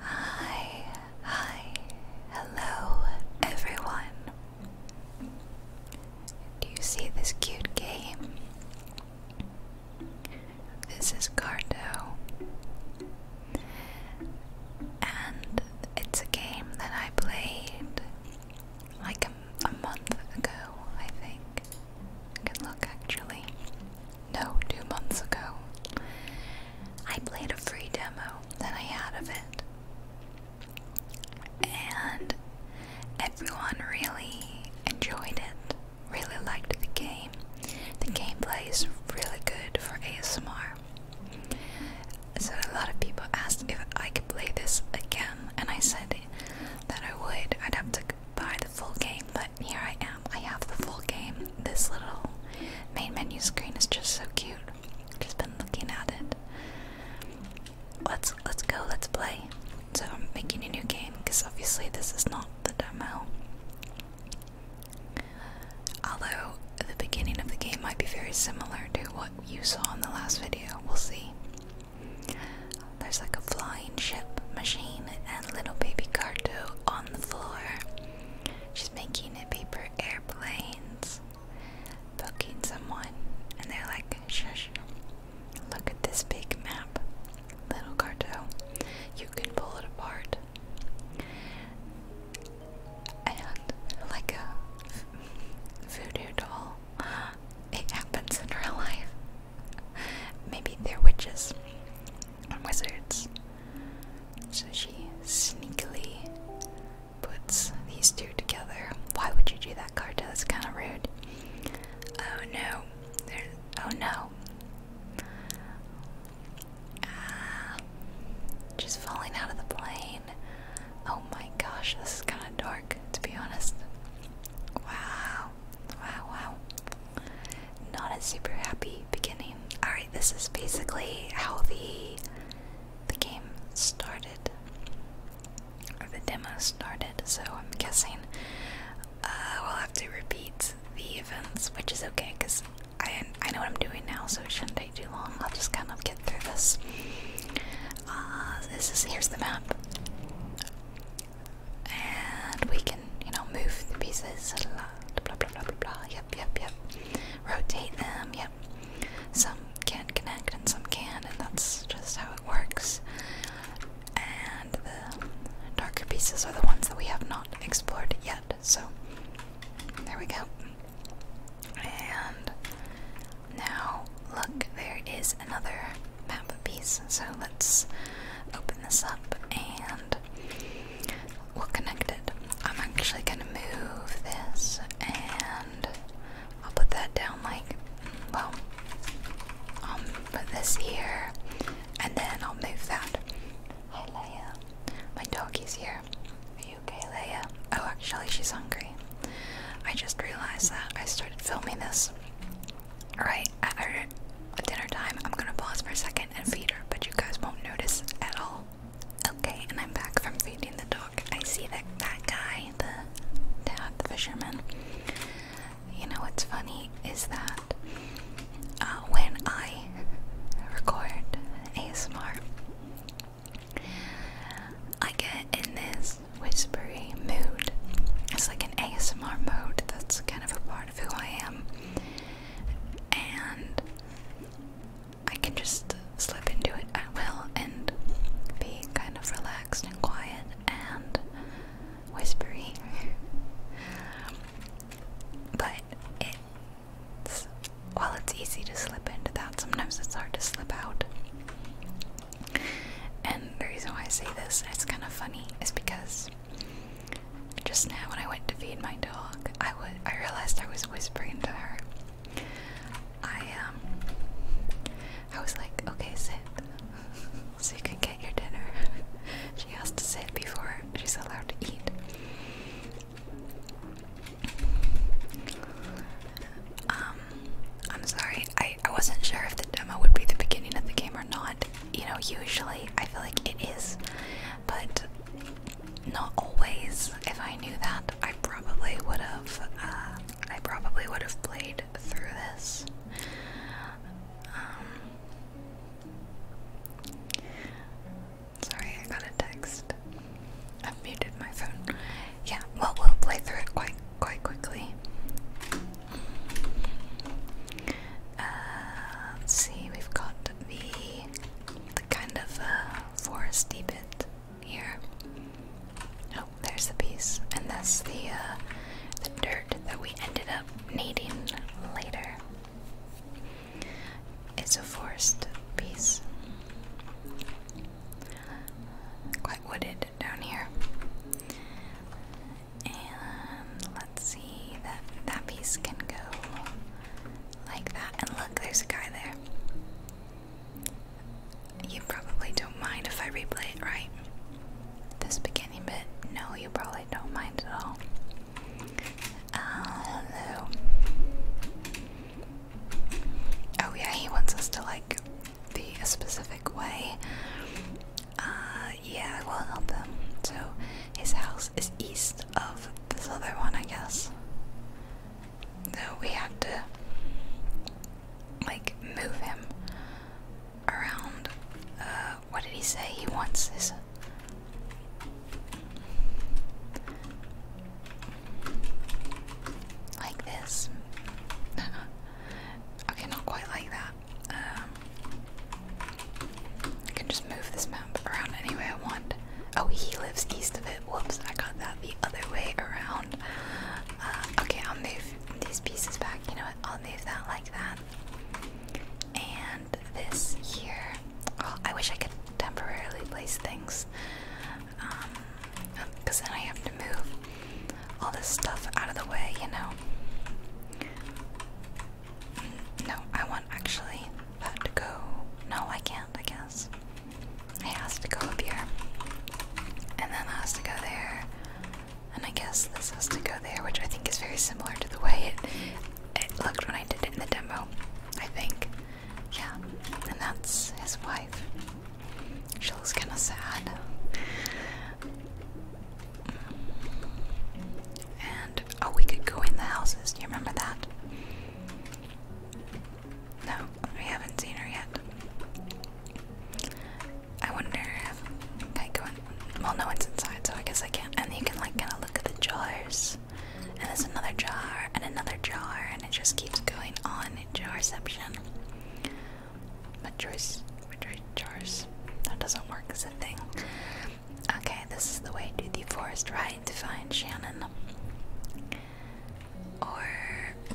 Hi, hi, hello everyone. Do you see this cute game? This is Cardo, and it's a game that I played like a, month ago, I think. I can look actually. No, two months ago. I played a free demo that I had of it. And everyone really enjoyed it, really liked the game. The gameplay is really good for ASMR. So, a lot of people asked if I could play this again, and I said that I would. I'd have to buy the full game, but here I am. I have the full game. This little main menu screen is just so cute. Just been looking at it. Let's let's go. Let's play. So I'm making a new game because obviously this is not the demo. Although the beginning of the game might be very similar to what you saw in the last video. We'll see. There's like a fly coin ship machine and little baby Carto on the floor. She's making a paper airplanes, poking someone, and they're like, shush, look at this big map, little Carto. You can pull it apart. And like a voodoo doll, it happens in real life. Maybe they're witches and wizards. So she sneakily puts these two together. Why would you do that, Carta? That's kind of rude. Oh no. There's, oh no. Ah, just falling out of the plane. Oh my gosh, this is kind of dark, to be honest. Wow. Wow, wow not a super happy beginning. Alright, this is basically how the the game started. Or the demo started, so I'm guessing uh, we'll have to repeat the events, which is okay because I, I know what I'm doing now, so it shouldn't take too long. I'll just kind of get through this. Uh, this is here's the map and we can, you know, move the pieces a lot, blah, blah, blah, blah, blah, yep, yep, yep, rotate them, yep, some can't connect and some can, and that's just how it works, and the darker pieces are the ones that we have not explored yet, so there we go, and now look, there is another map piece, so let's open this up and We'll connect it. I'm actually gonna move this and I'll put that down like, well, I'll um, put this here and then I'll move that. Hi Leia, my doggy's here. Are you okay Leia? Oh actually she's hungry. I just realized that I started filming this. Alright, at dinner time, I'm gonna pause for a second and feed her, but you guys won't notice at all. Okay, and I'm back from feeding the dog. I see that that guy, the the fisherman. You know what's funny is that uh, when I record ASMR, I get in this whispery mood. It's like an ASMR mode. That's kind of a part of who I am and I can just slip into it I will and be kind of relaxed and quiet and whispering. but it's, while it's easy to slip into that, sometimes it's hard to slip out. And the reason why I say this, and it's kind of funny, is because just now, when I went to feed my dog, I was I realized I was whispering to her. I um, I was like, "Okay, sit, so you can get your dinner." she has to sit before she's allowed to eat. Um, I'm sorry. I I wasn't sure if the demo would be the beginning of the game or not you know, usually I feel like it is, but not always. If I knew that, I probably would have. Uh, I probably would have played through this. Um, sorry, I got a text. i muted my phone. Yeah, well, we'll play through it quite quite quickly. Uh, let's see, we've got the, the kind of uh, foresty bit here. Oh, there's the piece, and that's the uh, the dirt that we ended up needing later. It's a forest piece, quite wooded down here. And let's see that that piece can go like that. And look, there's a guy there. You probably don't mind if I replay it, right? This beginning bit. No, you probably don't mind at all. Uh, oh yeah, he wants us to like be specific way. Uh, yeah, I will help him. So his house is east of this other one, I guess. So we have to like move him around. Uh, what did he say? He wants his. Like this. okay, not quite like that. Um, I can just move this map around any way I want. Oh, he lives east of it. Whoops, I got that the other way around. Uh, okay, I'll move these pieces back. You know what? I'll move that like that. And this here. Oh, I wish I could temporarily place things. Because um, then I have to move all this stuff out of the way, you know? No, I want actually that to go. No, I can't, I guess. It has to go up here. And then that has to go there. And I guess this has to go there, which I think is very similar to the way it, it looked when I did it in the demo, I think. Yeah, and that's his wife. She looks kind of sad. And oh we could go in the houses. Do you remember that? No, we haven't seen her yet. I wonder if I go in. Well, no one's inside, so I guess I can't. And you can like kind of look at the jars, and there's another jar and another jar, and it just keeps going on in jarception. But choice, jars, that doesn't work as a thing. Okay, this is the way to the forest, right? To find Shannon. Or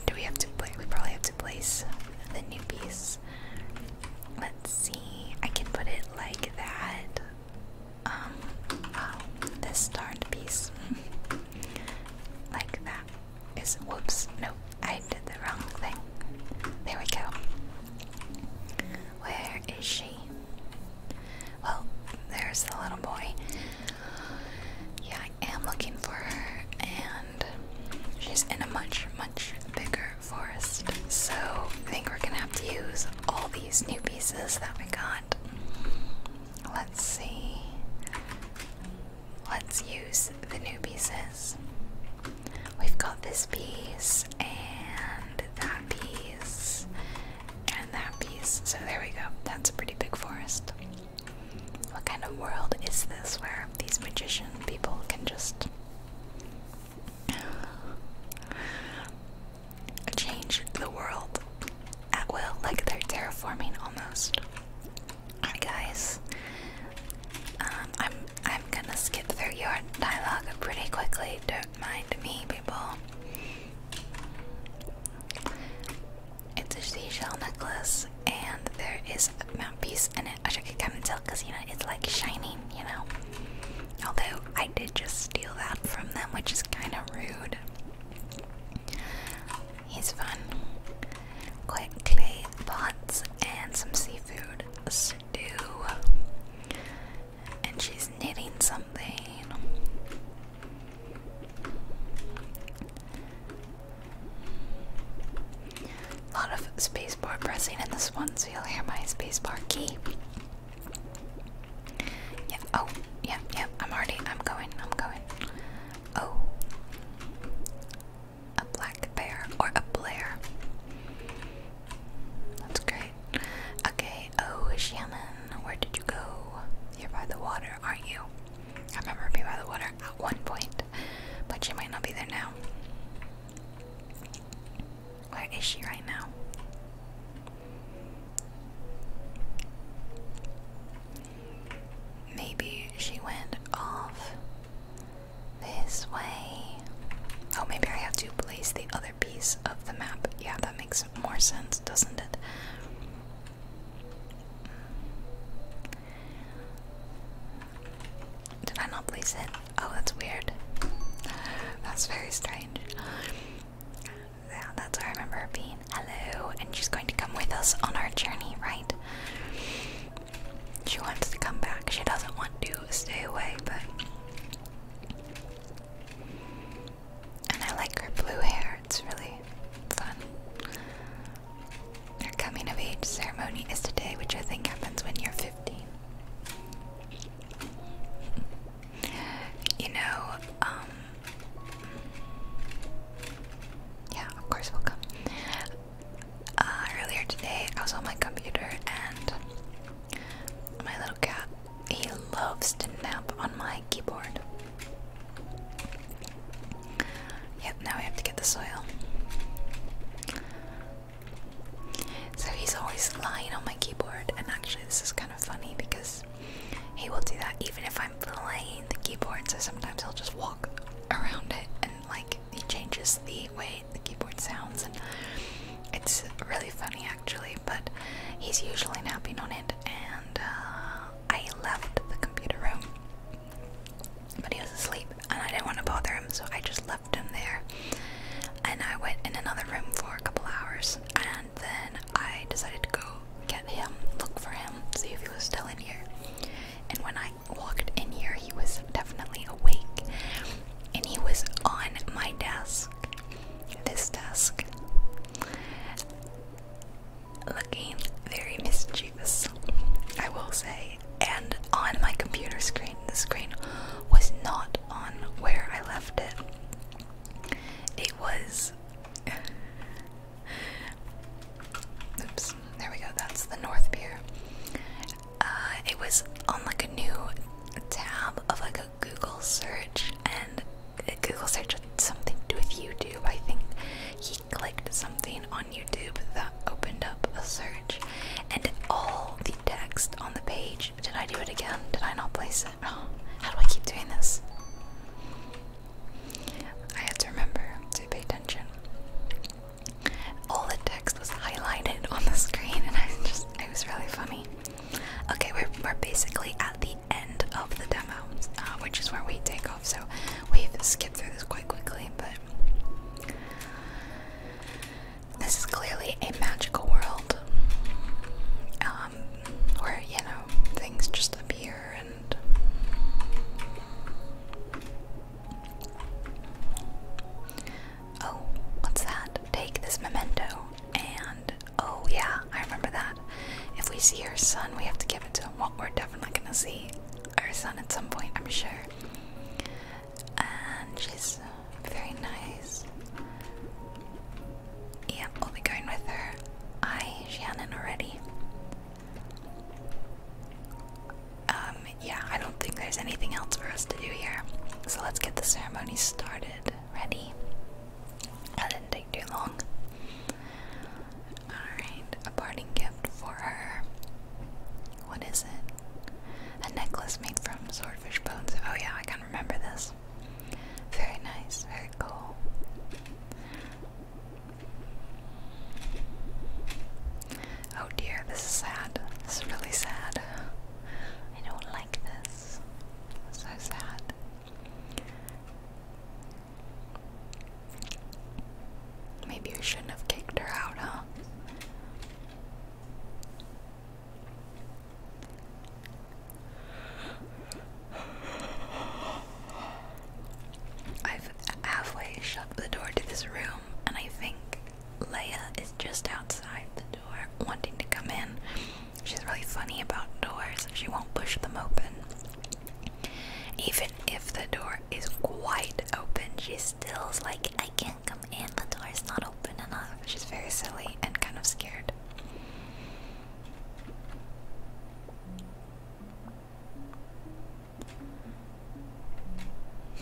do we have to place? We probably have to place the new piece. Let's see. I can put it like that. Um. Oh, this darned piece. like that. Is whoops. No, I did the wrong thing. There we go. Where is she? Well, there's the little boy. Yeah, I am looking for her, and she's in a much, much bigger forest. So I think we're gonna have to use all these new pieces that we got. Let's see. Let's use the new pieces. We've got this piece, and that piece and that piece. So there we go. That's a pretty big forest. What kind of world is this where these magician people can just change the world at will? Like they're terraforming almost. Alright guys. Um, I'm I'm gonna skip through your dialogue pretty quickly mind me, people. It's a seashell necklace, and there is a mount piece in it. As you can kind of tell, because you know it's like shining, you know. Although I did just steal that from them, which is kind of rude. He's fun. Quick clay pots and some seafood stew and she's knitting something. A lot of spacebar pressing in this one, so you'll hear my spacebar key. Yeah, oh, yeah, yeah, I'm already, I'm going, I'm going. Oh. A black bear or a blare. That's great. Okay, oh Shannon, where did you go? You're by the water, aren't you? I remember being by the water at one point, but she might not be there now. Where is she right now? Maybe she went off this way. Oh, maybe I have to place the other piece of the map. Yeah, that makes more sense, doesn't it? Did I not place it? Oh, that's weird. That's very strange. Yeah, that's where I remember being. Hello, and she's going to come with us on our journey, right? She wants to come back. She doesn't want to stay away, but and I like her blue hair, it's really fun. Her coming of age ceremony is today, which I think happens when you're 15. You know, um, Yeah, of course we'll come. Uh, earlier today, I was on my computer and my little cat, he loves to nap on my keyboard. Yep, now we have to get the soil. So he's always lying on my keyboard, and actually, this is kind of funny because he will do that even if I'm playing the keyboard. So sometimes he'll just walk around it, and like he changes the way the keyboard sounds, it's really funny actually, but he's usually napping on it, and uh, I left the computer room. But he was asleep, and I didn't want to bother him, so I just left him there. And I went in another room for a couple hours, and then I decided to go get him, look for him, see if he was still in here. And when I walked in here, he was definitely awake, and he was on my desk. This desk Looking very mischievous, I will say. And on my computer screen, the screen was not on where I left it. It was. Oops, there we go, that's the North Pier. Uh, it was on like a new tab of like a Google search and uh, Google search with something to do with YouTube. I think he clicked something on YouTube that opened up a search and all the text on the page. Did I do it again? Did I not place it? how do I keep doing this? I had to remember to pay attention. All the text was highlighted on the screen, and I just, it was really funny. Okay, we're, basically at the end of the demo, uh, which is where we take off, so we've skipped through this quite quickly, but this is clearly a magical world um, where, you know, things just appear and. Oh, what's that? Take this memento. And oh, yeah, I remember that. If we see her son, we have to give it to him. Well, we're definitely gonna see our son at some point, I'm sure. And she's very nice. Yeah, we'll be going with her. I Shannon already. Um, yeah, I don't think there's anything else for us to do here. So let's get the ceremony started ready. That didn't take too long. Alright, a parting gift for her. What is it? A necklace made from swordfish bones. Oh, yeah, I can remember this. Very nice, very cool. Oh dear, this is sad. This is really sad. I don't like this so sad. Maybe you shouldn't have kicked her out, huh? I've halfway shut the door to this room, and I think Leia is just outside the wanting to come in. She's really funny about doors. She won't push them open. Even if the door is wide open, she still's like, I can't come in, the door is not open enough. She's very silly and kind of scared.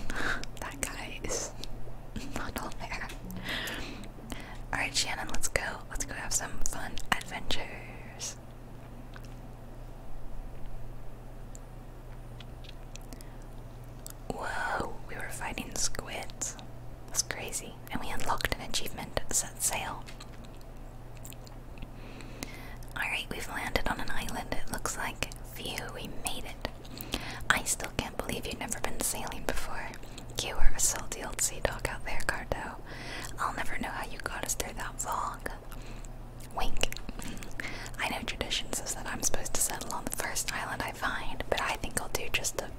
that guy is not all there. Alright, Shannon, let's go. Let's go have some fun adventures. Whoa, we were fighting squids. That's crazy. And we unlocked an achievement set sail. Alright, we've landed on an island, it looks like. Phew, we made it. I still can't believe you've never been sailing before. You are a salty old sea dog out there, Cardo. I'll never know how you got us through that fog. Wink. I know traditions says that I'm supposed to settle on the first island I find, but I think I'll do just a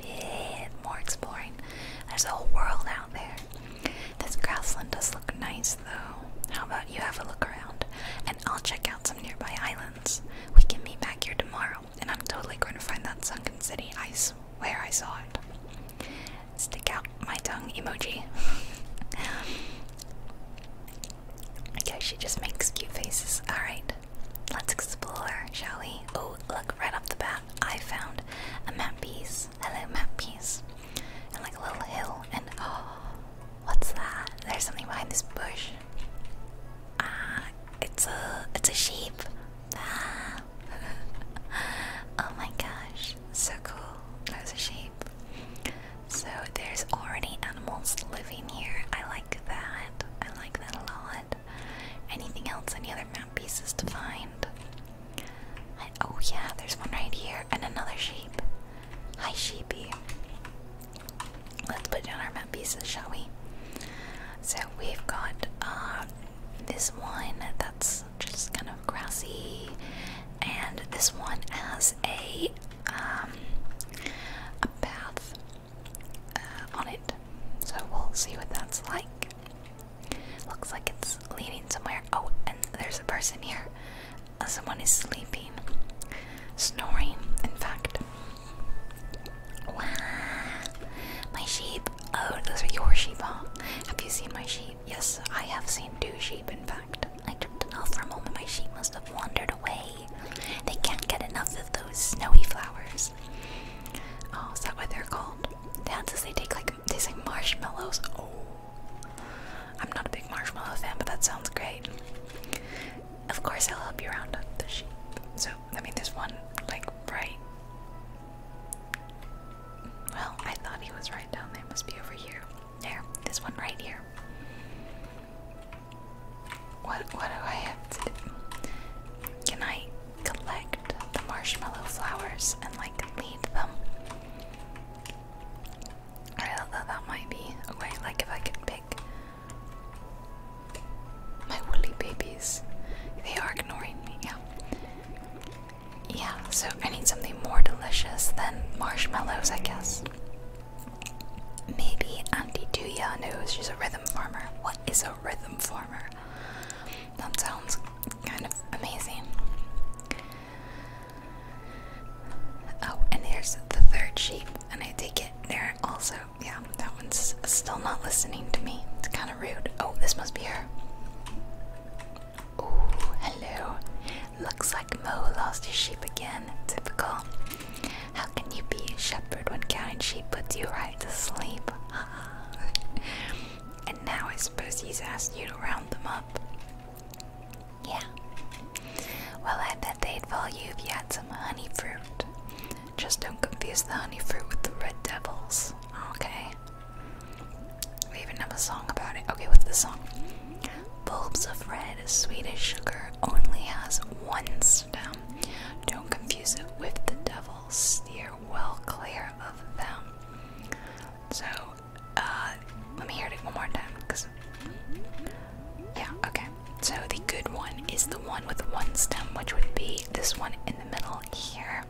bit more exploring. There's a whole world out there. This grassland does look nice, though. How about you have a look around, and I'll check out some nearby islands. We can meet back here tomorrow and I'm totally going to find that sunken city. I swear I saw it. Stick out my tongue emoji. okay, she just makes cute faces. Alright, let's explore, shall we? Oh, look, right off the bat, I found a map piece. Hello, map piece. And like a little hill, and oh, what's that? There's something behind this bush. Ah, it's a it's a sheep. Ah. oh my gosh, so cool. There's a sheep. So there's already animals living here. I like that. I like that a lot. Anything else? Any other mount pieces to find? oh yeah, there's one right here and another sheep. Hi sheepy. Let's put down our map pieces, shall we? So we've got um, this one that's just kind of grassy, and this one has a um, path uh, on it. So we'll see what that's like. Looks like it's leading somewhere. Oh, and there's a person here. Uh, someone is sleeping, snoring. In fact. Wow. My sheep. Oh, those are your sheep, huh? Have you seen my sheep? Yes, I have seen two sheep, in fact. I don't know for a moment my sheep must have wandered away. They can't get enough of those snowy flowers. Oh, is that what they're called? Dances they take like taste like marshmallows. Oh I'm not a big marshmallow fan, but that sounds great. Of course I'll help you round up the sheep. So I mean, this one like right. Well, I thought he was right down there. Must be over here. There, this one right here. What? What do I have to do? Can I collect the marshmallow flowers and like leave them? Alright, that, that might be a way. Like if I could pick my woolly babies. They are ignoring me, yeah. Yeah, so I need something more delicious than marshmallows, I guess. Maybe Auntie Tuya knows she's a rhythm farmer. What is a rhythm farmer? That sounds kind of amazing. Oh, and here's the third sheep, and I take it they're also yeah, that one's still not listening to me. It's kind of rude. Oh, this must be her. Oh, hello. Looks like Mo lost his sheep again. Typical. How can you be a shepherd when counting sheep puts you right to sleep? and now I suppose he's asked you to round them up. Yeah. Well, I bet they'd follow you if you had some honey fruit. Just don't confuse the honey fruit with the red devils. Okay. We even have a song about it. Okay, with the song? Bulbs of red, sweet as sugar, only has one stem. Don't confuse it with the devil. Steer well clear of them. So, uh, let me hear it one more time. yeah, okay. So the good one is the one with one stem, which would be this one in the middle here.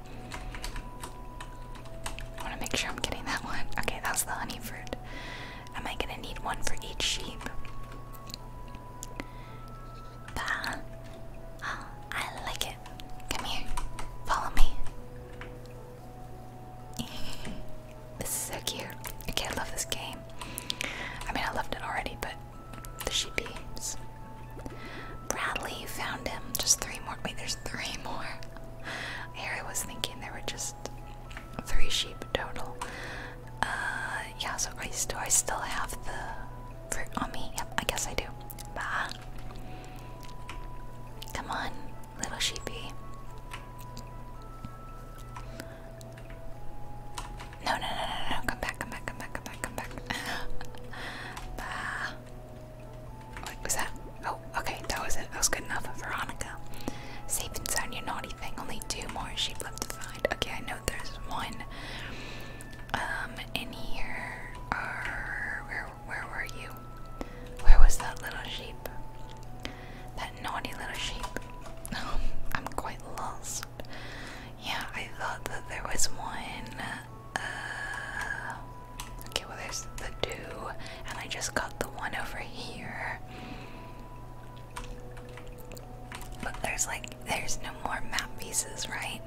I want to make sure I'm getting that one. Okay, that's the honey fruit. Am I gonna need one for each sheep? Bah. I like it. Come here. Follow me. this is so cute. Okay, I love this game. I mean, I loved it already, but she beams. Bradley found him. Just three more. Wait, there's three more. Harry was thinking there were just three sheep total. Uh, yeah. So I do I still have the fruit on me? Yep, I guess I do. Bah. Come on, little sheepy. No, no, no, no, no. Come back, come back, come back, come back, come back. bah. What was that? Oh, okay, that was it. That was good enough. Veronica. Safe and sound, you naughty thing. Only two more sheep left to find. Okay, I know there's one. Um, in here are where where were you? Where was that little sheep? That naughty little sheep. I'm quite lost. Yeah, I thought that there was one. Uh, okay, well, there's the two, and I just got the one over here. But there's like, there's no more map pieces, right?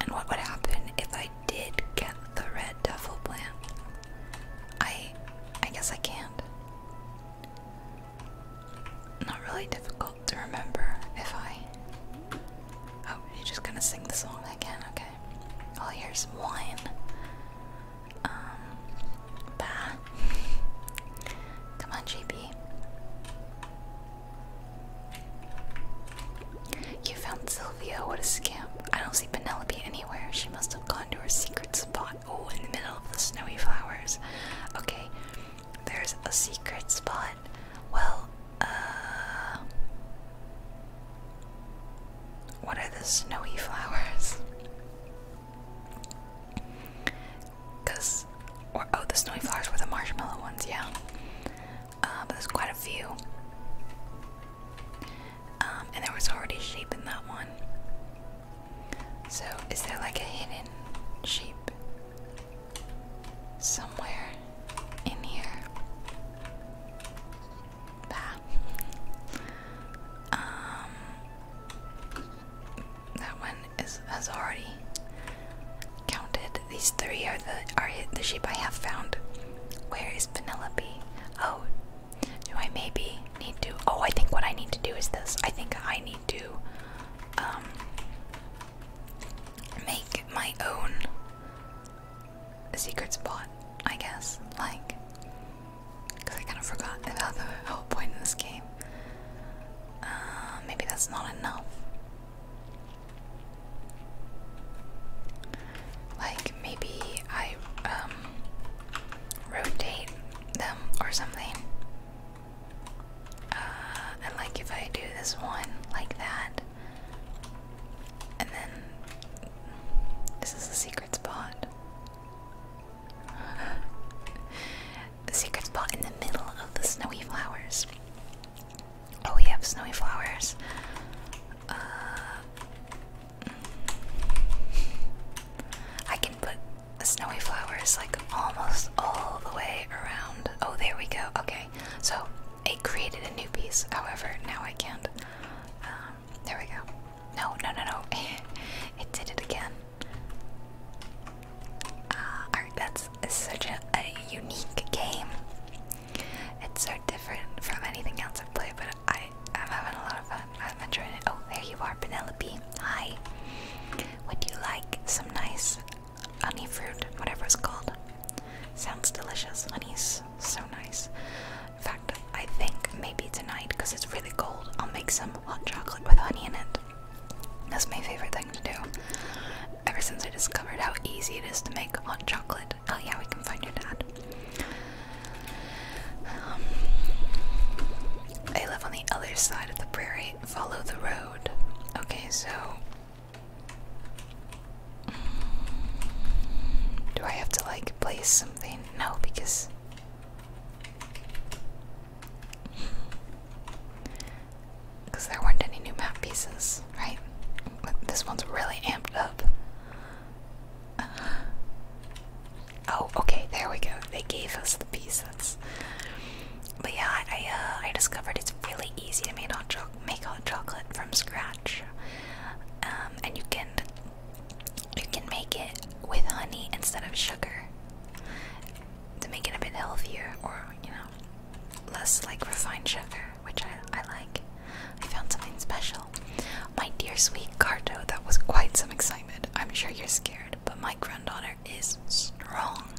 And what would happen if I did get the red duffel plant? I, I guess I can't. Not really difficult to remember if I. Oh, you're just gonna sing the song again? Okay. All I hear Um. Bah. Come on, JB. You found Sylvia, what a scamp. I don't see Penelope anywhere. She must have gone to her secret spot. Oh, in the middle of the snowy flowers. Okay, there's a secret spot. Well, uh. What are the snowy flowers? Because. oh, the snowy flowers were the marshmallow ones, yeah. Uh, but there's quite a few. Um, and there was already shape in that one. So, is there like a hidden sheep somewhere in here? Bah. Um, that one is has already counted. These three are the are the sheep I have found. Where is Penelope? Oh, do I maybe need to? Oh, I think what I need to do is this. I think I need to um, make my own secret spot, I guess. Like, because I kind of forgot about the whole point of this game. Uh, maybe that's not enough. Like, maybe I um, rotate them or something. Uh, like if I do this one like that, and then this is the secret spot. the secret spot in the middle of the snowy flowers. Oh, we have snowy flowers. Uh, mm. I can put a snowy flower is like almost all the way around. Oh, there we go. Okay, so it created a new piece. However, now I can't. Um, there we go. No, no, no, no. it did it again. Uh, Alright, that's such a, unique game. It's so different from anything else I've played, but I'm having a lot of fun. I'm enjoying it. Oh, there you are, Penelope. Hi. Would you like some nice honey fruit, whatever it's called? Sounds delicious. Honey's so nice. In fact, I think maybe tonight, because it's really cold, I'll make some hot chocolate with honey in it. That's my favorite thing to do. Ever since I discovered how easy it is to make hot chocolate. Oh, yeah, we can find your dad. Um, live on the other side of the prairie follow the road. Okay, so. Mm, do I have to like place something? No, because. Because there weren't any new map pieces, right? This one's really amped up. Uh, oh, okay, there we go. They gave us the piece. But yeah, I uh, I discovered it's really easy to make hot, cho make hot chocolate from scratch, um, and you can you can make it with honey instead of sugar to make it a bit healthier or you know less like refined sugar, which I I like. I found something special, my dear sweet Carto. That was quite some excitement. I'm sure you're scared, but my granddaughter is strong.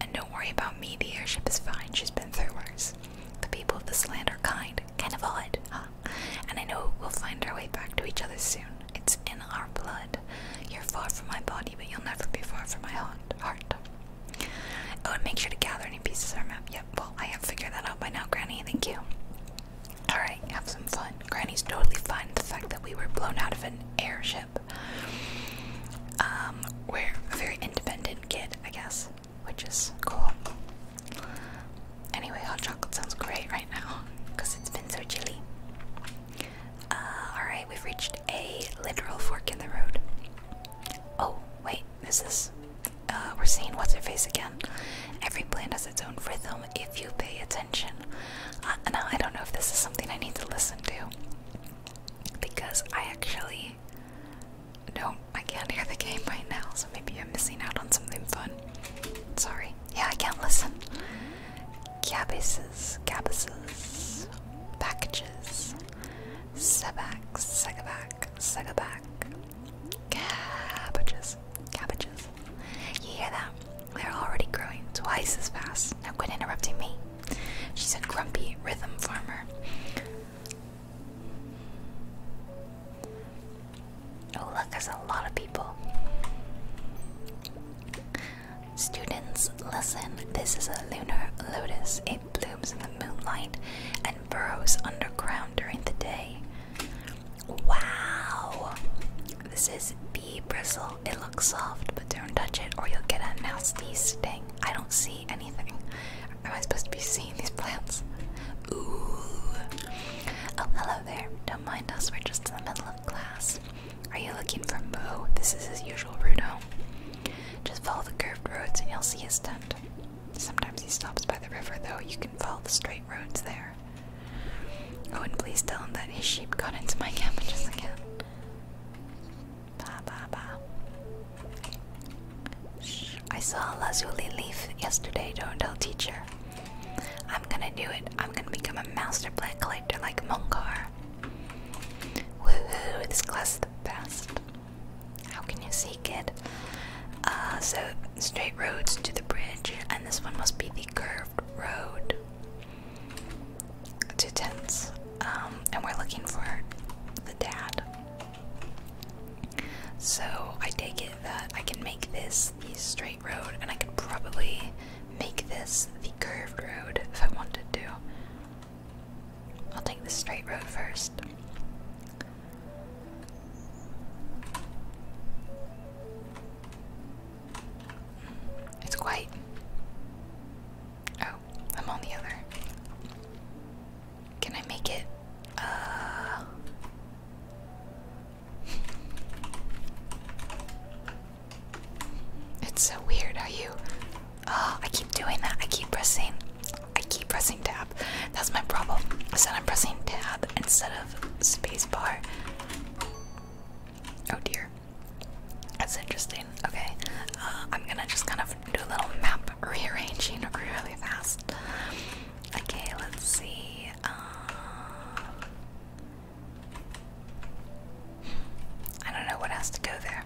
And don't worry about me, the airship is fine, she's been through worse. The people of this land are kind, kind of odd, huh? And I know we'll find our way back to each other soon. It's in our blood. You're far from my body, but you'll never be far from my heart. I Oh, to make sure to gather any pieces of our map. Yep, well, I have figured that out by now, Granny. Thank you. Alright, have some fun. Granny's totally fine with the fact that we were blown out of an airship. Um, we're a very independent kid, I guess, which is cool. Anyway, hot chocolate sounds great right now because it's been so chilly. Uh, alright, we've reached a literal fork in the road. Oh, wait, this. is uh, we're seeing What's their Face again. Every plant has its own rhythm if you pay attention. Uh, now I don't know if this is something I need to listen to because I actually don't. I can't hear the game right now, so maybe I'm missing out on something fun. Sorry. Yeah, I can't listen. Cabbages, cabbages, packages, sebac, cabbages, cabbages. You hear that? They're already growing twice as fast. Now quit interrupting me. She's a grumpy rhythm farmer. Oh, look, there's a lot of people. Students, listen. This is a lunar lotus. It blooms in the moonlight and burrows underground during the day. Wow! This is bristle. It looks soft, but don't touch it or you'll get a nasty sting. I don't see anything. Am I supposed to be seeing these plants? Ooh. Oh, hello there. Don't mind us, we're just in the middle of class. Are you looking for Mo? This is his usual route home. Just follow the curved roads and you'll see his tent. Sometimes he stops by the river, though. You can follow the straight roads there. Oh, and please tell him that his sheep got into my cabbages again. Bah, bah, bah. Shh. I saw a lazuli leaf yesterday. Don't tell teacher. I'm gonna do it. I'm gonna become a master plant collector like Monkar. Woohoo! This class is the best. How can you see, it? Uh, so straight roads to the bridge, and this one must be the curved road two tents, um, and we're looking for the dad. So I take it that I can make this the straight road, and I could probably make this the curved road if I wanted to. I'll take the straight road first. It's quite. Oh, I'm on the other. Can I make it? Uh. It's so weird Are you. Oh, I keep doing that. I keep pressing. I keep pressing tab. That's my problem. I said I'm pressing tab instead of spacebar. Oh dear. That's interesting. Okay, uh, I'm gonna just kind of do a little map rearranging really fast. Okay, let's see. Uh, I don't know what has to go there.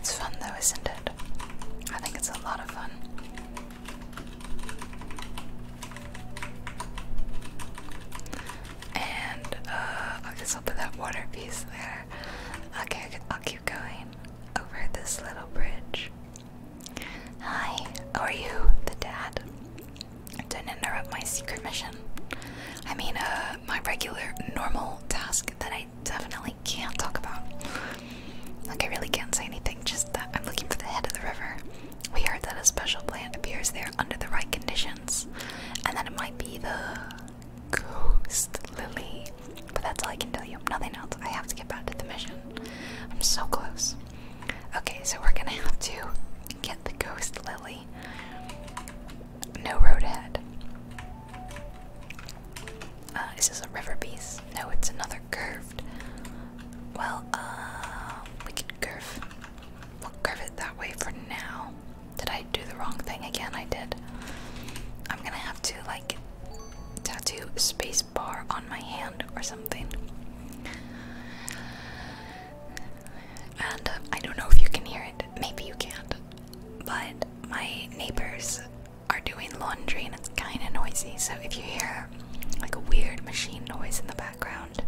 It's fun though, isn't it? I think it's a lot of fun. And uh, I'll just open that water piece there. Okay, I'll keep going over this little bridge. Hi, how are you, the dad? Don't interrupt my secret mission. I mean, uh, my regular, normal task that I definitely can't talk about. Like, I really can't say anything, just that I'm looking for the head of the river. We heard that a special plant appears there under the right conditions, and that it might be the ghost lily. But that's all I can tell you, nothing else. I have to get back to the mission. I'm so close. Okay, so we're gonna have to get the ghost lily. No road ahead. Uh, is this a river piece? No, it's another curved. Well, uh, we could curve. We'll curve it that way for now. Did I do the wrong thing again? I did. I'm gonna have to, like, tattoo a space bar on my hand or something. And uh, I don't know if you can hear it. Maybe you can't. But my neighbors are doing laundry and it's kind of noisy. So if you hear like a weird machine noise in the background,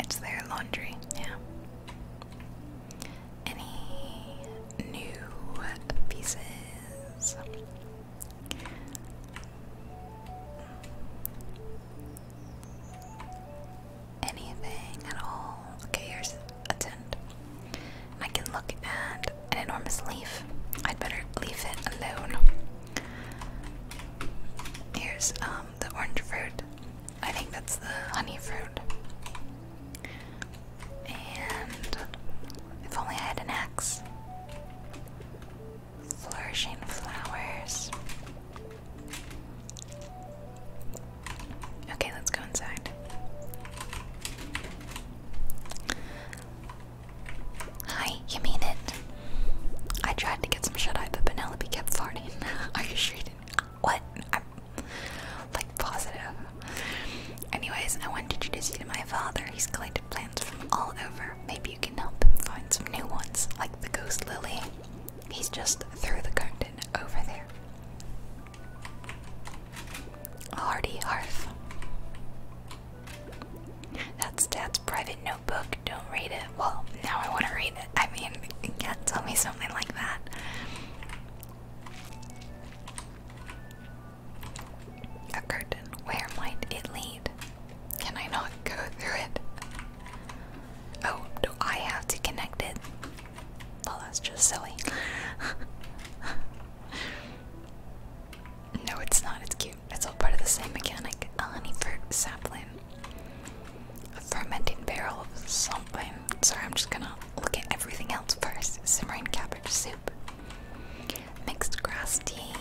it's their laundry. Yeah. Any new pieces? Anything at all? Okay, here's a and I can look at an enormous leaf. I'd better leave it alone. Here's um, the orange fruit. I think that's the honey fruit. And if only I had an axe. Flourishing flowers. Okay, let's go inside. Hi, you mean it? I tried to get some shut eye, but Penelope kept farting. Are you sure you didn't? What? like positive. Anyways, I want to introduce you to my father. He's collected plants from all over. Maybe you can help him find some new ones, like the ghost lily. He's just through the garden over there. Hardy Hearth. That's Dad's private notebook. Don't read it. Well, now I want to read it. I mean, you can't tell me something like that. A curtain. Where might it lead? Can I not go through it? Oh, do I have to connect it? Well, that's just silly. No, it's not. It's cute. It's all part of the same mechanic. A honey fruit sapling. A fermenting barrel of something. Sorry, I'm just gonna look at everything else first. Simmering cabbage soup. Mixed grass tea.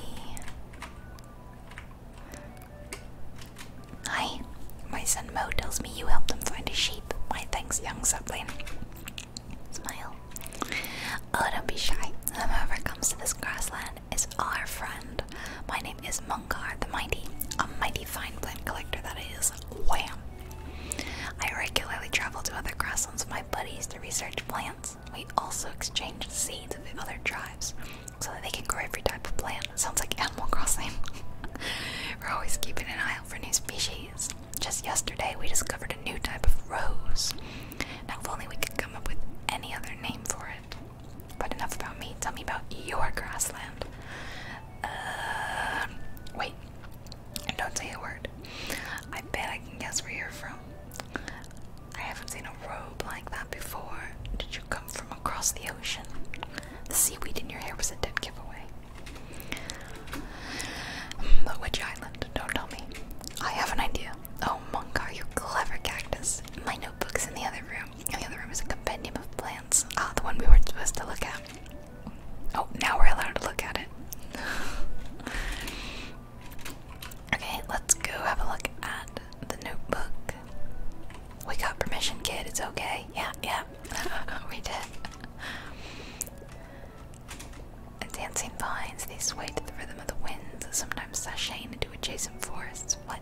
Hi, my son Mo tells me you helped them find a sheep. My thanks, young sapling. Smile. Oh, don't be shy. Whoever comes to this grassland is our friend. My name is Mungar the Mighty, a mighty fine plant collector that is. Wham! I regularly travel to other grasslands with my buddies to research plants. We also exchange seeds with other tribes so that they can grow every type of plant. Sounds like Animal Crossing. We're always keeping an eye out for new species. Just yesterday, we discovered a new type of rose. Now, if only we could come up with any other name for it. But enough about me. Tell me about your grassland. Uh, wait. don't say a word. I bet I can guess where you're from. I haven't seen a robe like that before. Did you come from across the ocean? The seaweed in your hair was a dead giveaway. The witch island? Don't tell me. I have an idea. Oh, monk, are you clever cactus. My notebook's in the other room. The other room is a compendium of plants. Ah, the one we weren't supposed to look at. Oh, now we're allowed to look at it. okay, let's go have a look at the notebook. We got permission, kid. It's okay. Yeah, yeah. we did. Dancing vines, they sway to the rhythm of the winds, sometimes sashaying into adjacent forests. What?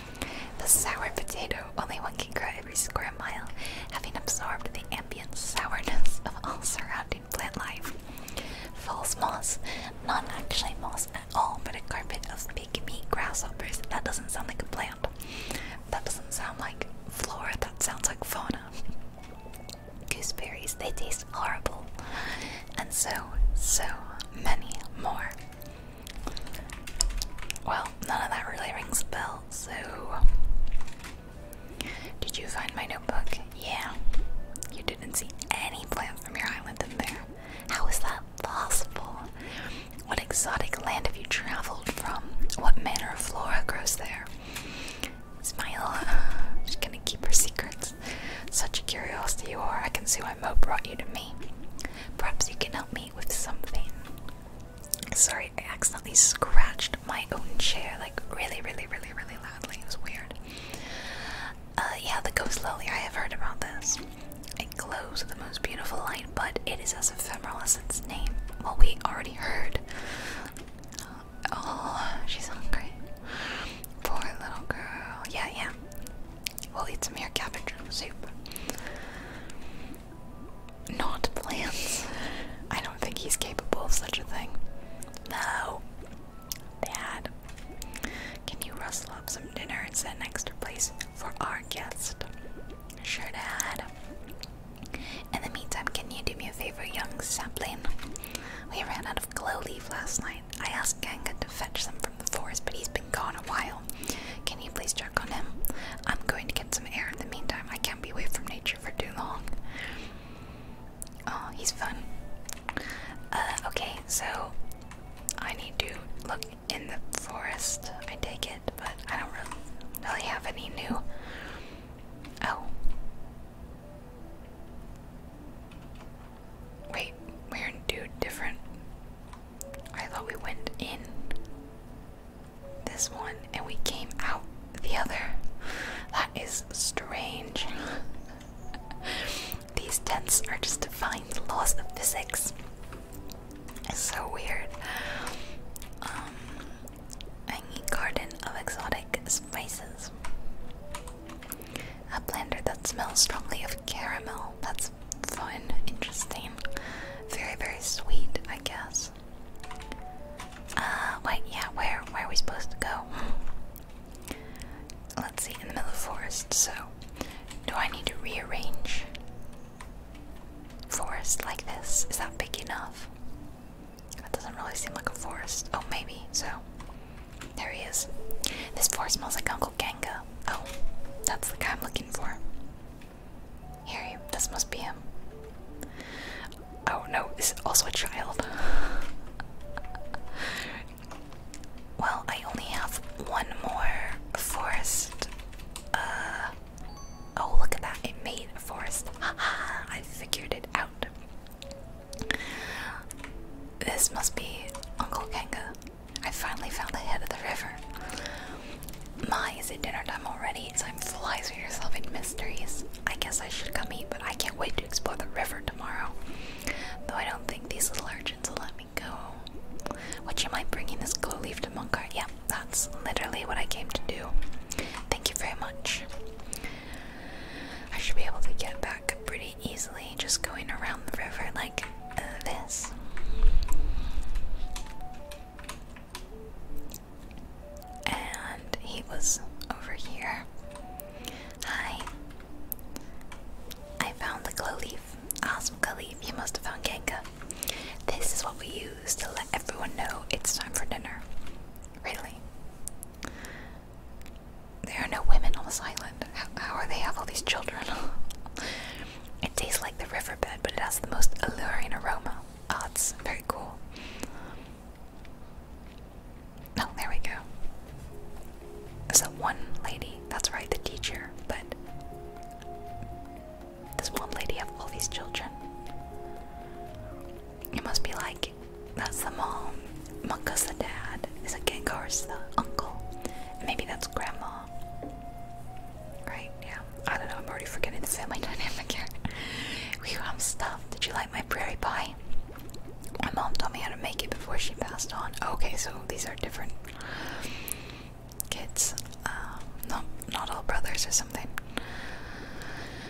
the sour potato, only one can grow every square mile, having absorbed the ambient sourness of all surrounding plant life. False moss, not actually moss at all, but a carpet of big meat grasshoppers. That doesn't sound like a plant. That doesn't sound like flora, that sounds like fauna gooseberries. They taste horrible. And so, so many more. Well, none of that really rings a bell, so. Did you find my notebook? Yeah. You didn't see any plant from your island in there. How is that possible? What exotic land have you traveled from? What manner of flora grows there? Smile. She's gonna keep her secrets. Such a curiosity you are. I can see why Mo brought you to me. Perhaps you can help me with something. Sorry, I accidentally scratched my own chair like really, really, really, really loudly. It was weird. Uh, yeah, the ghost lily. I have heard about this. It glows with the most beautiful light, but it is as ephemeral as its name. Well, we already heard. Oh, she's hungry. Poor little girl. Yeah, yeah. We'll eat some here cabbage soup. Not plants. I don't think he's capable of such a thing. No. Dad. Can you rustle up some dinner and set an extra place for our guest? Sure, Dad. In the meantime, can you do me a favor, young sapling? We ran out of glow leaf last night. I asked Ganga to fetch some from the forest, but he's been gone a while. Can you please check on him? I'm going to get some air in the meantime. I can't be away from nature for too long. Oh, he's fun. Uh, okay, so I need to look in the forest. I take it, but I don't really, really have any new. Oh, Wait, we're in two different. I thought we went in this one and we came out the other. That is strange. These tents are just defying the laws of physics. It's so weird. Um, I garden of exotic spices. A planter that smells strongly of caramel. That's fun, interesting. Very, very sweet, I guess. Uh, wait, yeah, where, where are we supposed to go? Let's see, in the middle of forest, so do I need to rearrange forest like this? Is that big enough? That doesn't really seem like a forest. Oh, maybe. So, there he is. This forest smells like Uncle Ganga. Oh, that's the guy I'm looking for. Here, this must be him. Oh no, is also a child. well, I only have one more forest. Uh, oh, look at that. It made a forest. Ha ha! I figured it out. This must be Uncle Kanga. I finally found the head of the river. My, is it dinner time already? Time flies when you're solving mysteries. I guess I should come eat, but I can't wait to explore the river tomorrow. Though I don't think these little urchins will let me go. Would you mind bringing this glow leaf to Munkar? Yeah, that's literally what I came to do. Thank you very much. I should be able to get back pretty easily just going around the river like uh, this. And he was over here. Hi. I found the glow leaf. Awesome glow leaf. You must have found Genka. This is what we use to let everyone know it's time for dinner. Really? There are no women on this island. How, are they have all these children? it tastes like the riverbed, but it has the most alluring aroma. Oh, it's very cool. Oh, there we go. So one lady, that's right, the teacher, but this one lady have all these children. It must be like that's the mom, Monka's the dad, is it Gengar's the uncle? And maybe that's grandma. Right? Yeah. I don't know, I'm already forgetting the family dynamic here. we um stuff. Did you like my prairie pie? My mom taught me how to make it before she passed on. Okay, so these are different kids. Uh, not not all brothers or something.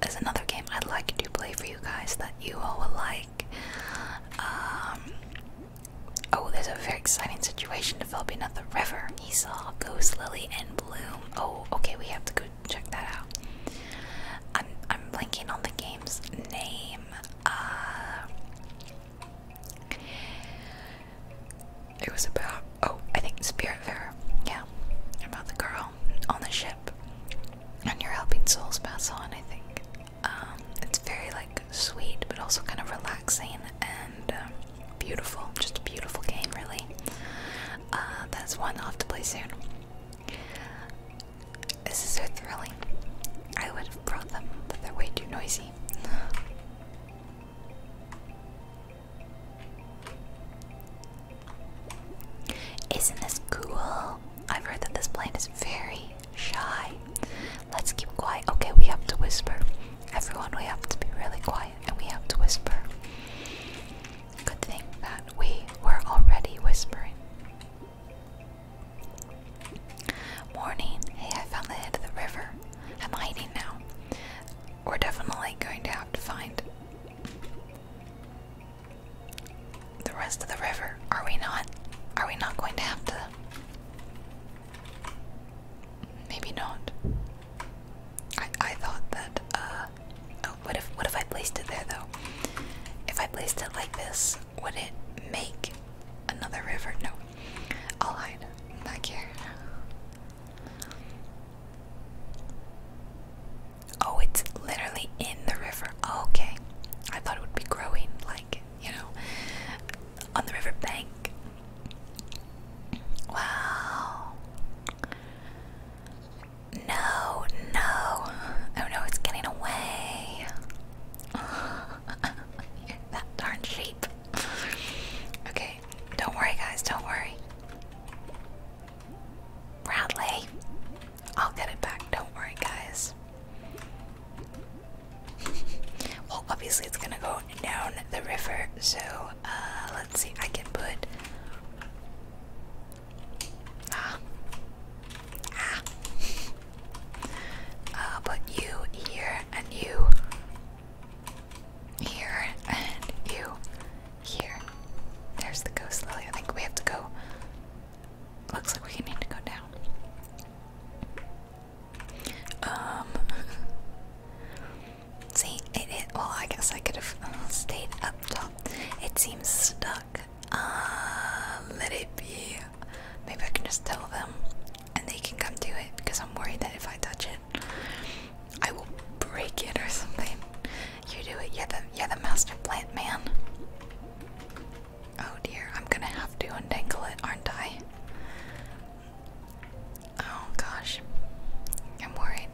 There's another game I'd like to play for you guys that you all will like. Um, oh, there's a very exciting situation developing at the river. Esau, Ghost Lily and Bloom. Oh, okay, we have to go check that out. I'm I'm blanking on the game's name. Uh, it was about oh, I think Spiritfarer. Yeah, about the girl on the ship, and you're helping souls pass on. I think um, it's very like sweet, but also kind of relaxing and um, beautiful. Just a beautiful game, really. Uh, that's one I'll have to play soon. This is so thrilling. I would have brought them, but they're way too noisy. Isn't this cool? I've heard that this plant is very shy. Let's keep quiet. Okay, we have to whisper. Everyone, we have to be really quiet and we have to whisper. Good thing that we were already whispering. Morning. Hey, I found the head of the river. I'm hiding now we're definitely going to have to find the rest of the river. Are we not? Are we not going to have to? Maybe not. I I thought that. Uh, oh, what if what if I placed it there though? If I placed it like this, would it make another river? No. I'll hide. Not care. Oh, it's literally in the river. Oh, okay. I thought it would be growing, like, you know, on the river bank. Wow. No, no. Oh no, it's getting away. that darn sheep. okay, don't worry, guys, don't worry. Bradley. I'll get it back, don't worry, guys. well, obviously, it's gonna go down the river, so uh, let's see. I can put. Ah. Ah. I'll put you here, and you here, and you here. There's the ghost lily. I think we have to go. Looks like we need to go down. Um. See, it, it. Well, I guess I could have uh, stayed up top. It seems stuck. Uh, let it be. Maybe I can just tell them, and they can come do it. Because I'm worried that if I touch it, I will break it or something. You do it. yeah, the, you the master plant man. Oh dear, I'm gonna have to untangle it, aren't I? Oh gosh, I'm worried.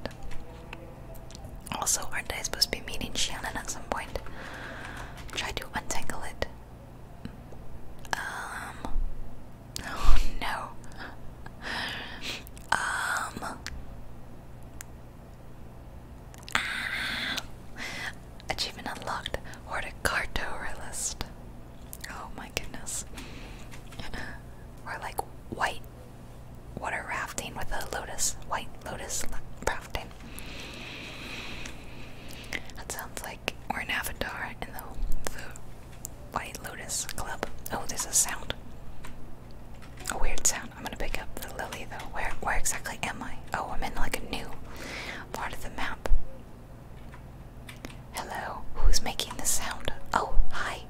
Also, aren't I supposed to be meeting Shannon at some point? Try to untangle it. Um. Oh no. Um. Ah. achievement unlocked. Horticartoralist. Oh my goodness. or like white water rafting with a lotus. White lotus rafting. That sounds like we're an avatar in the, the White Lotus Club. Oh, there's a sound. A weird sound. I'm gonna pick up the lily though. Where where exactly am I? Oh, I'm in like a new part of the map. Hello, who's making this sound? Oh, hi,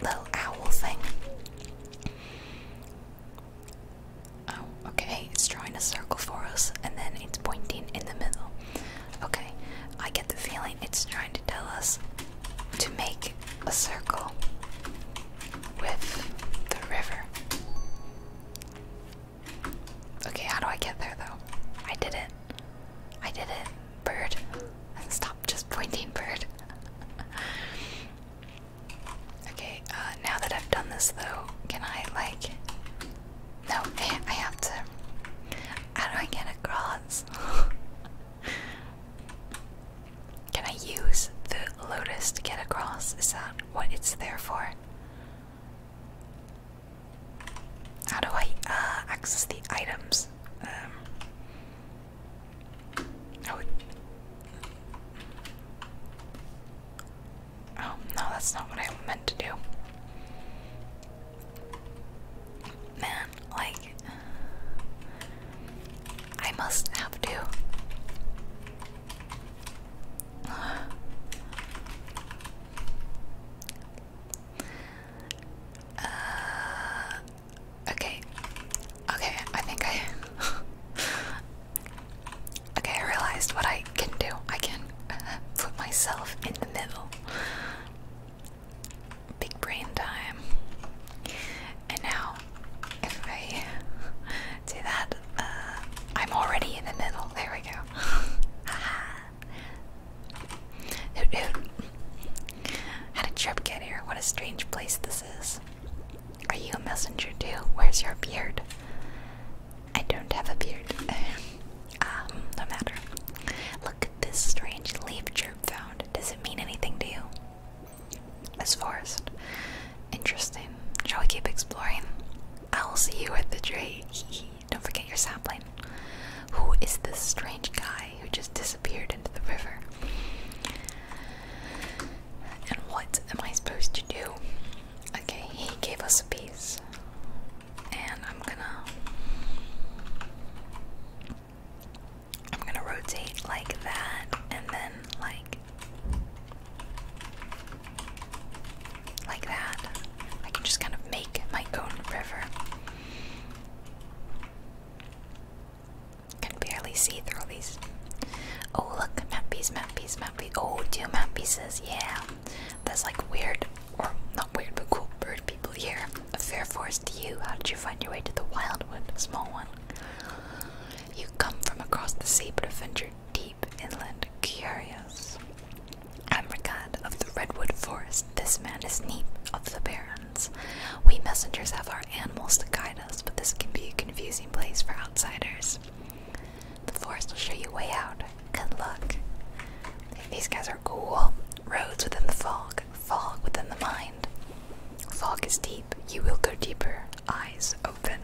little owl thing. Oh, okay, it's drawing a circle for us and then it's pointing in the middle. Okay, I get the feeling it's trying to tell us to make a circle with the river. Okay, how do I get there though? I did it. I did it. Bird. Stop just pointing, bird. okay, uh, now that I've done this though, can I like. No, I have to. How do I get across? Can I use the lotus to get across? Is that what it's there for? How do I uh, access the items? Um, oh, no, that's not what I meant to do. Man, like, I must have to. Uh, okay, okay, I think I. okay, I realized what I can do. I can put myself in the middle. Big brain time. And now if I do that, uh, I'm already in the middle. There we go. How did Trip get here? What a strange place this is. Are you a messenger too? Where's your beard? I don't have a beard. um, no matter. Look at this strange leaf Chirp found. Does it mean anything to you? This forest. Interesting. Shall we keep exploring? I'll see you at the tree. Don't forget your sapling. Who is this strange guy who just disappeared into the river? And what am I supposed to do? Okay, he gave us a piece. And I'm gonna I'm gonna rotate like that and then like like that. I can just kind of make my own river. Can barely see through all these. Oh look, map piece, map piece, map piece. Oh, two map pieces, yeah. that's like weird, or not weird, but cool bird people here. A fair forest to you. How did you find your way to the wildwood? Small one. You come from across the sea but have ventured deep inland, curious. I'm Rigad of the Redwood Forest. This man is Neep of the Barrens. We messengers have our animals to guide us, but this can be a confusing place for outsiders. The forest will show you way out. Good luck. These guys are cool. Roads within the fog, fog within the mind mind. Fog is deep. You will go deeper. Eyes open.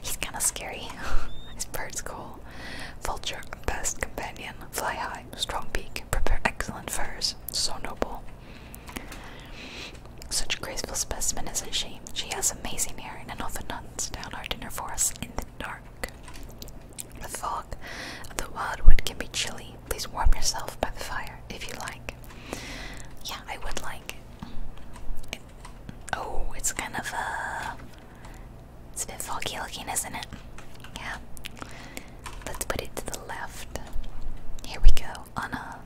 He's kinda scary. His bird's cool. Vulture, best companion. Fly high. Strong beak. Prepare excellent furs. So noble. Such a graceful specimen, isn't she? She has amazing hearing and often hunts down our dinner for us in the dark. The fog of the wildwood can be chilly. Please warm yourself by the fire if you like. Yeah, I would like Oh, it's kind of a. Uh, it's a bit foggy looking, isn't it? Yeah. Let's put it to the left. Here we go on a,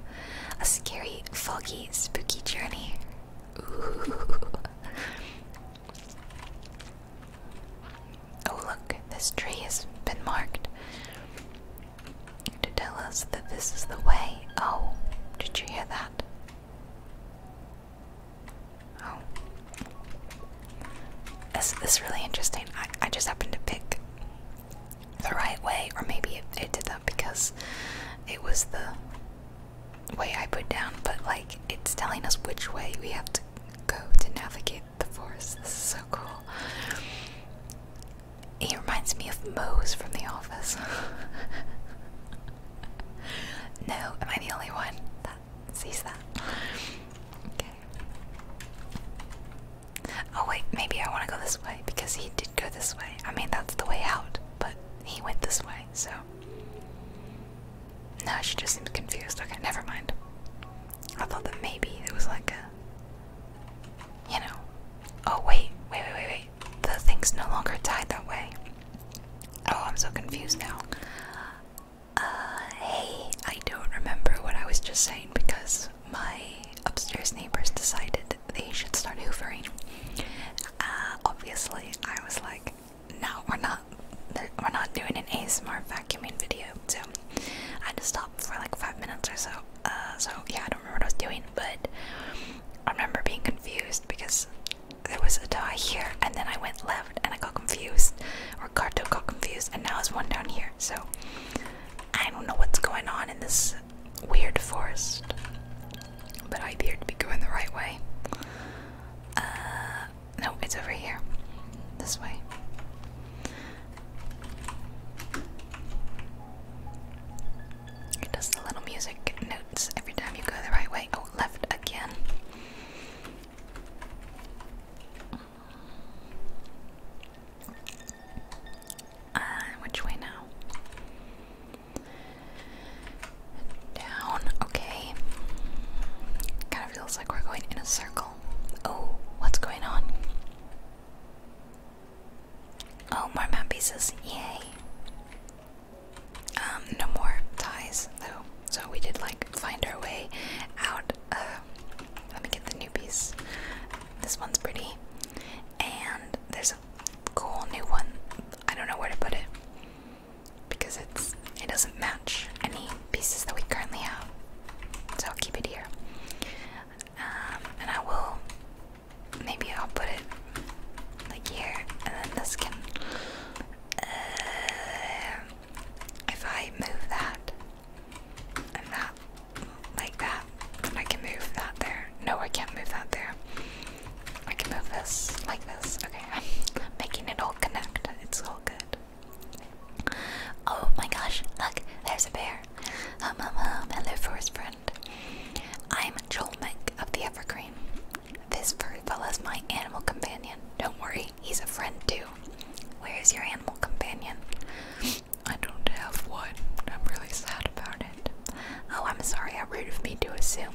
a scary, foggy, spooky journey. Ooh. Oh, look, this tree has been marked to tell us that this is the way. Oh, did you hear that? Oh. This, is really interesting. I, I just happened to pick the right way, or maybe it, did that because it was the way I put down, but like it's telling us which way we have to go to navigate the forest. so cool. He reminds me of Moe's from The Office. no, am I the only one that sees that? Okay. Oh, wait, maybe I want to go this way because he did go this way. I mean, that's the way out, but he went this way, so. No, she just seems confused. Okay, never mind. I thought that maybe it was like a you know. Oh, wait, wait, wait, wait, The thing's no longer tied that way. Oh, I'm so confused now. Uh, hey, I don't remember what I was just saying because my upstairs neighbors decided they should start hoovering. Uh, obviously, I was like, no, we're not, we're not doing an ASMR vacuuming video, so I had to stop for like five minutes or so. Uh, so yeah, I don't remember what I was doing, but I remember being confused because there was a die here, and then I went left, and I got confused, Ricardo got confused, and now it's one down here. So I don't know what's going on in this weird forest, but I appear to be going the right way. Uh, no, it's over here, this way. It does the little music notes every time you go the right way. Oh, left again. Uh, which way now? Down, okay. Kind of feels like we're going in a circle. Oh, what's going on? Oh, more map pieces. Yay. Um, no more ties though. So we did like find our way out. Uh, let me get the new piece. This one's pretty. And there's a cool new one. I don't know where to put it. Because it's it doesn't match any pieces that we currently have. So I'll keep it here. Um, and I will maybe I'll put it like here, and then this can. Uh, if I move that and that like that, I can move that there. No, I can't move that there. I can move this like this. Okay, I'm making it all connect. It's all good. Oh my gosh, look, there's a bear. Um, um, um, hello, forest friend. I'm Joel Mick of the Evergreen. This furry fella's my animal companion. Don't worry, he's a friend too. Where is your animal companion? I don't have one. I'm really sad about it. Oh, I'm sorry, how rude of me to assume.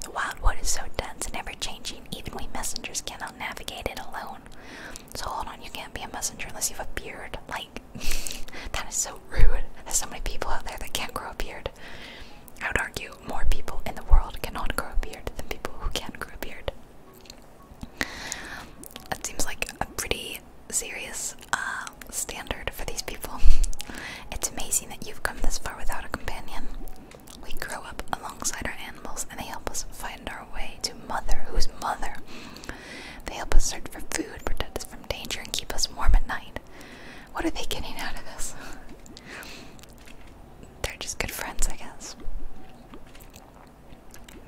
The wildwood is so dense and ever changing, even we messengers cannot navigate it alone. So hold on, you can't be a messenger unless you have a beard. Like that is so rude. There's so many people out there that can't grow a beard. I would argue more people in the world cannot grow a beard than people who can not grow a beard. That seems like a pretty serious uh, standard for these people. It's amazing that you've come this far without a companion. We grow up alongside our animals and they help us find our way to mother, whose mother they help us search for food, protect us from danger, and keep us warm at night. What are they getting out of this? They're just good friends, I guess.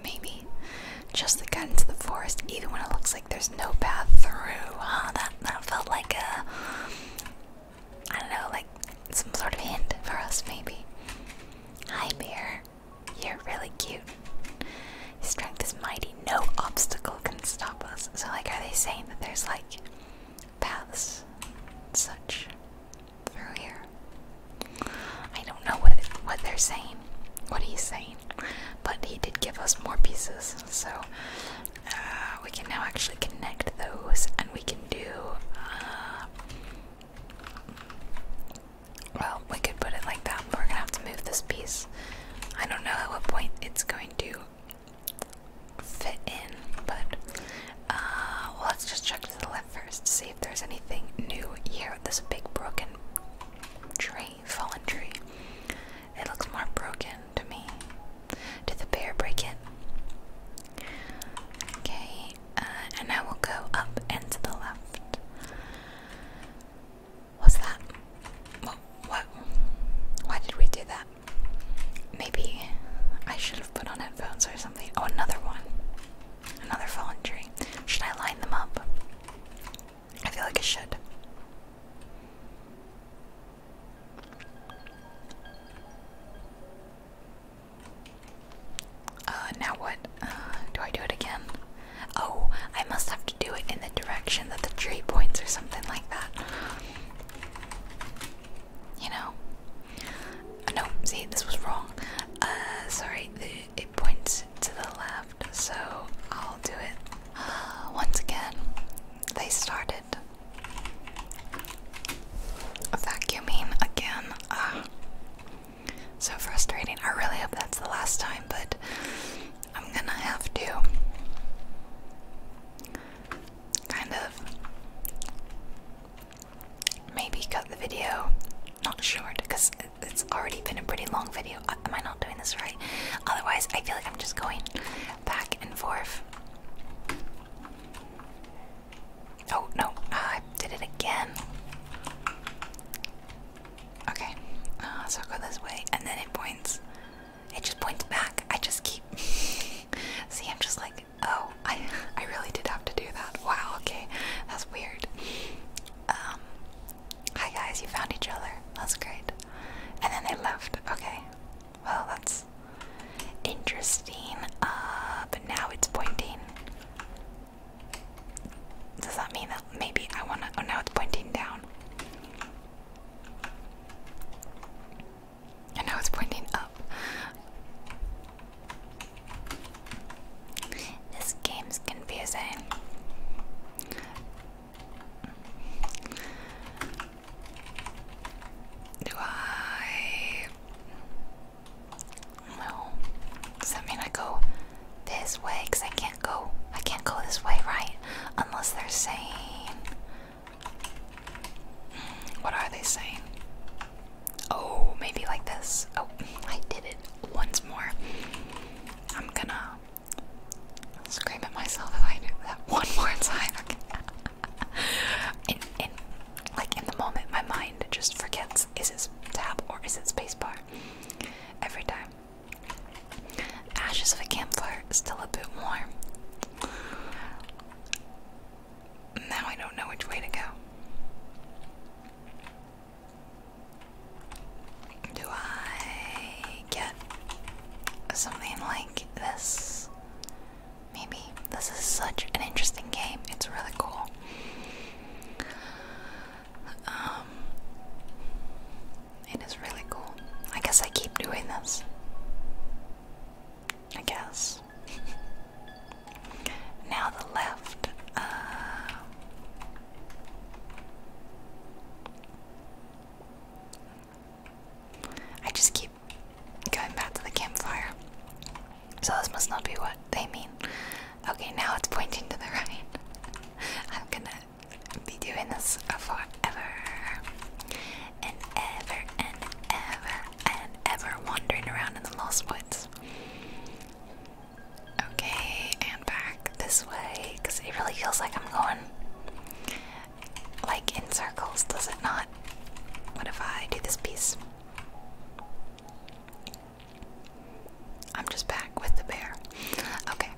Maybe. Just the got into the forest, even when it looks like there's no path through. That that felt like a I don't know, like some sort of hint for us, maybe. Hi, bear. You're really cute. strength is mighty. No obstacle can stop us. So, like, are they saying that there's like paths such through here? I don't know what what they're saying. What he's saying, but he did give us more pieces, so uh, we can now actually connect those, and we can do. Uh, well, we could put it like that. We're gonna have to move this piece. I don't know at what point it's going to fit in, but uh, let's just check to the left first to see if there's anything new here. This big broken tree, fallen tree. It looks more broken to me. Did the bear break it? Okay, uh, and now we'll go up and to the left. What's that? What? Why did we do that? Maybe I should have put on headphones or something. Oh, another one. Another fallen tree. Should I line them up? I feel like I should. Uh, now what? Uh, do I do it again? Oh, I must have to do it in the direction that the tree points or something like that. You know? Oh, no, see, this was wrong. Uh, sorry, it points to the left, so I'll do it. once again, they started vacuuming again. Uh, so frustrating. I really hope that's the last time, but I'm gonna have to kind of maybe cut the video. Not sure because it's already been a pretty long video. Uh, am I not doing this right? Otherwise, I feel like I'm just going back and forth. Oh no, ah, I did it again. Okay, uh, so i go this way, and then it points. It just points back. I just keep. See, I'm just like, oh, I, I really did have to do that. Wow. Okay, that's weird. Um, hi guys, you found each other. That's great. And then they left. Okay. Well, that's interesting. Uh, but now it's pointing. Does that mean that maybe I wanna. Oh, now it's pointing down. And now it's pointing up. This game's confusing. Do I. No. Does that mean I go this way? Because I can't go. I can't go this way, right? Unless they're saying. Hmm, what are they saying? Oh, maybe like this. Oh, I did it once more. I'm gonna scream at myself if I do that one more time. Okay. in, in, like in the moment, my mind just forgets is it tab or is it spacebar every time. Ashes of a campfire, still a bit warm. Now I don't know which way to go. Do I get something like this? Maybe. This is such an interesting game. It's really cool. Um, it is really cool. I guess I keep doing this. I guess. now the left. Uh, I just keep going back to the campfire. So this must not be what they mean. Okay, now it's pointing to the right. I'm gonna be doing this forever and ever and ever and ever wandering around in the Lost Woods. Okay, and back this way because it really feels like I'm going like in circles, does it not? What if I do this piece? I'm just back with the bear. Okay.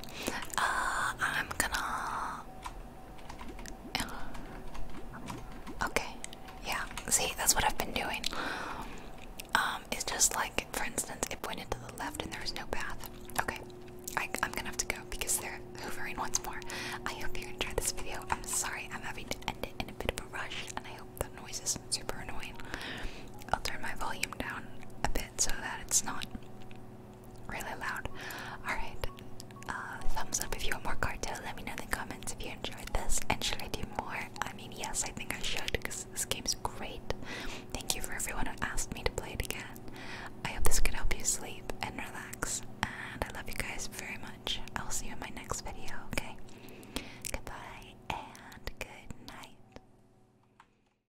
Uh, I'm gonna. Okay. Yeah. See, that's what I've been doing. Um, it's just like, for instance, it pointed to the left and there was no path. Okay. I, am gonna have to go because they're hovering once more. I hope you enjoyed this video. I'm sorry I'm having to end it in a bit of a rush, and I hope the noise isn't super annoying. I'll turn my volume down a bit so that it's not really loud. Alright, uh, thumbs up if you want more cartel. Let me know in the comments if you enjoyed this and should I do more? I mean, yes, I think I should because this game is great. Thank you for everyone who asked me to play it again. I hope this could help you sleep and relax. And I love you guys very much. I will see you in my next video, okay? Goodbye and good night.